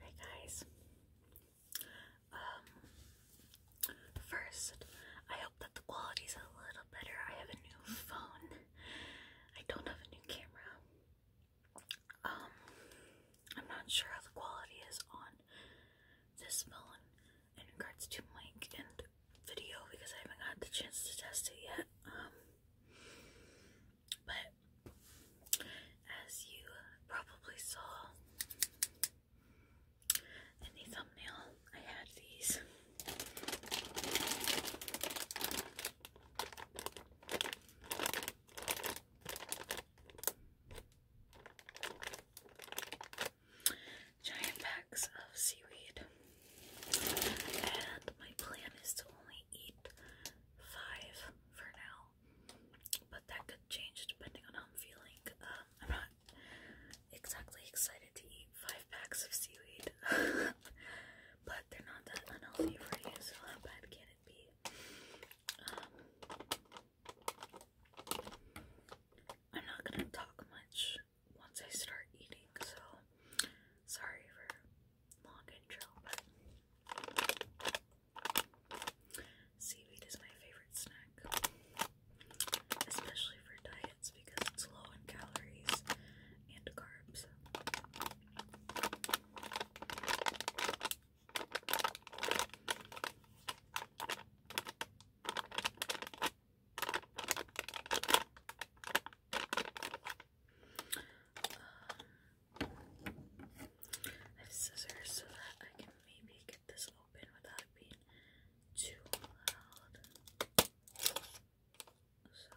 Hey guys. Um, first, I hope that the quality's a little better. I have a new phone. I don't have a new camera. Um, I'm not sure how the quality is on this phone in regards to mic and video because I haven't had the chance to test it yet. Um, but as you probably saw in the thumbnail, I had these. Giant packs of seaweed. And my plan is to only eat five for now. But that could change depending on how I'm feeling. Um, I'm not exactly excited to eat five packs of seaweed. but they're not that unhealthy for you, so how bad can it be? Um, I'm not gonna talk much once I start eating, so sorry for long intro, but seaweed is my favorite snack, especially for diets because it's low in calories and carbs. Um, I have scissors so that I can maybe get this open without being too loud. So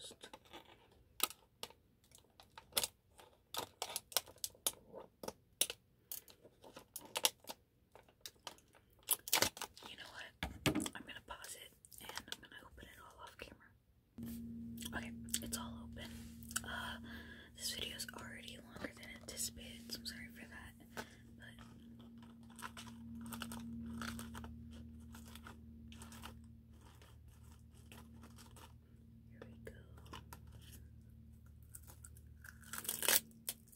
just you know what? I'm gonna pause it and I'm gonna open it all off camera. Okay, it's all open. Uh, this video is already longer than anticipated, so I'm sorry for that. But here we go.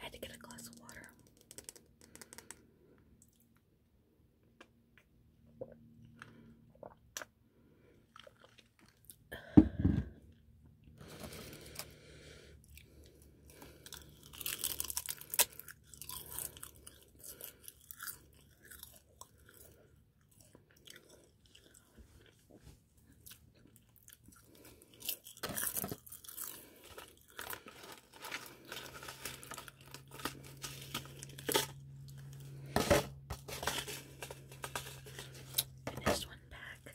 I had to get a glass of water. And this one back.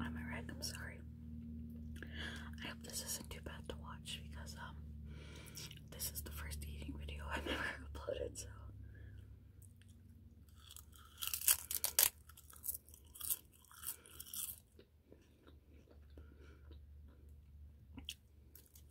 I'm a wreck, I'm sorry. I hope this isn't too bad to watch because um this is the first eating video I've ever uploaded, so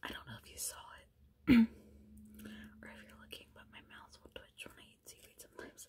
I don't know if you saw it or if you're looking, but my mouth will twitch when I eat seaweed sometimes.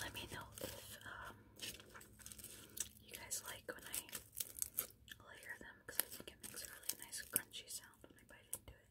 Let me know if um, you guys like when I layer them because I think it makes a really nice crunchy sound when I bite into it.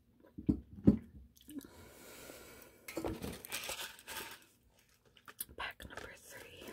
Pack number three.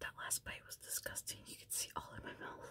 that last bite was disgusting. You could see all in my mouth.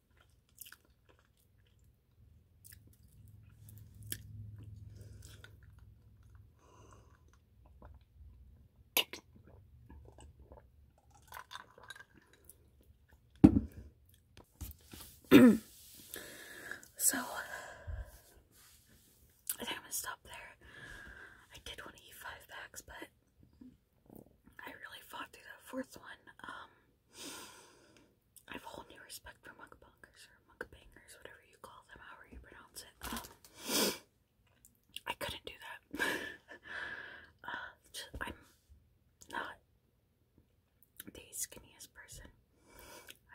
so, I think I'm gonna stop there. I did want to eat five packs, but I really fought through that fourth one. Um, I have a whole new respect for mukbangers or mukbangers, whatever you call them, however you pronounce it. Um, I couldn't do that. uh, I'm not the skinniest person,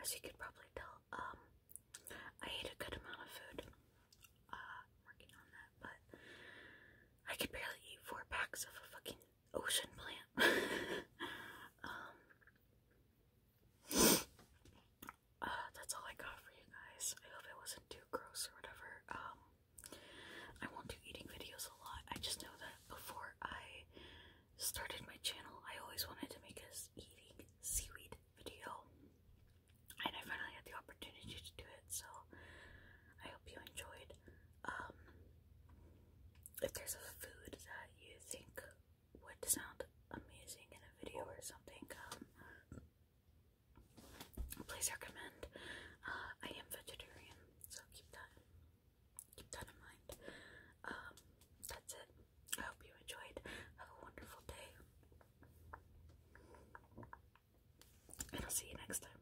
as you could probably tell. Um, I ate a good amount of food. Uh, I'm working on that, but I could barely eat four packs of fucking ocean plant. um, uh, that's all I got for you guys. I hope it wasn't too gross or whatever. Um, I won't do eating videos a lot. I just know that before I started my channel, I always wanted to make a eating seaweed video, and I finally had the opportunity to do it. So I hope you enjoyed um, if there's a food that you think would sound amazing in a video or something, um, please recommend. Uh, I am vegetarian, so keep that keep that in mind. Um, that's it. I hope you enjoyed. Have a wonderful day, and I'll see you next time.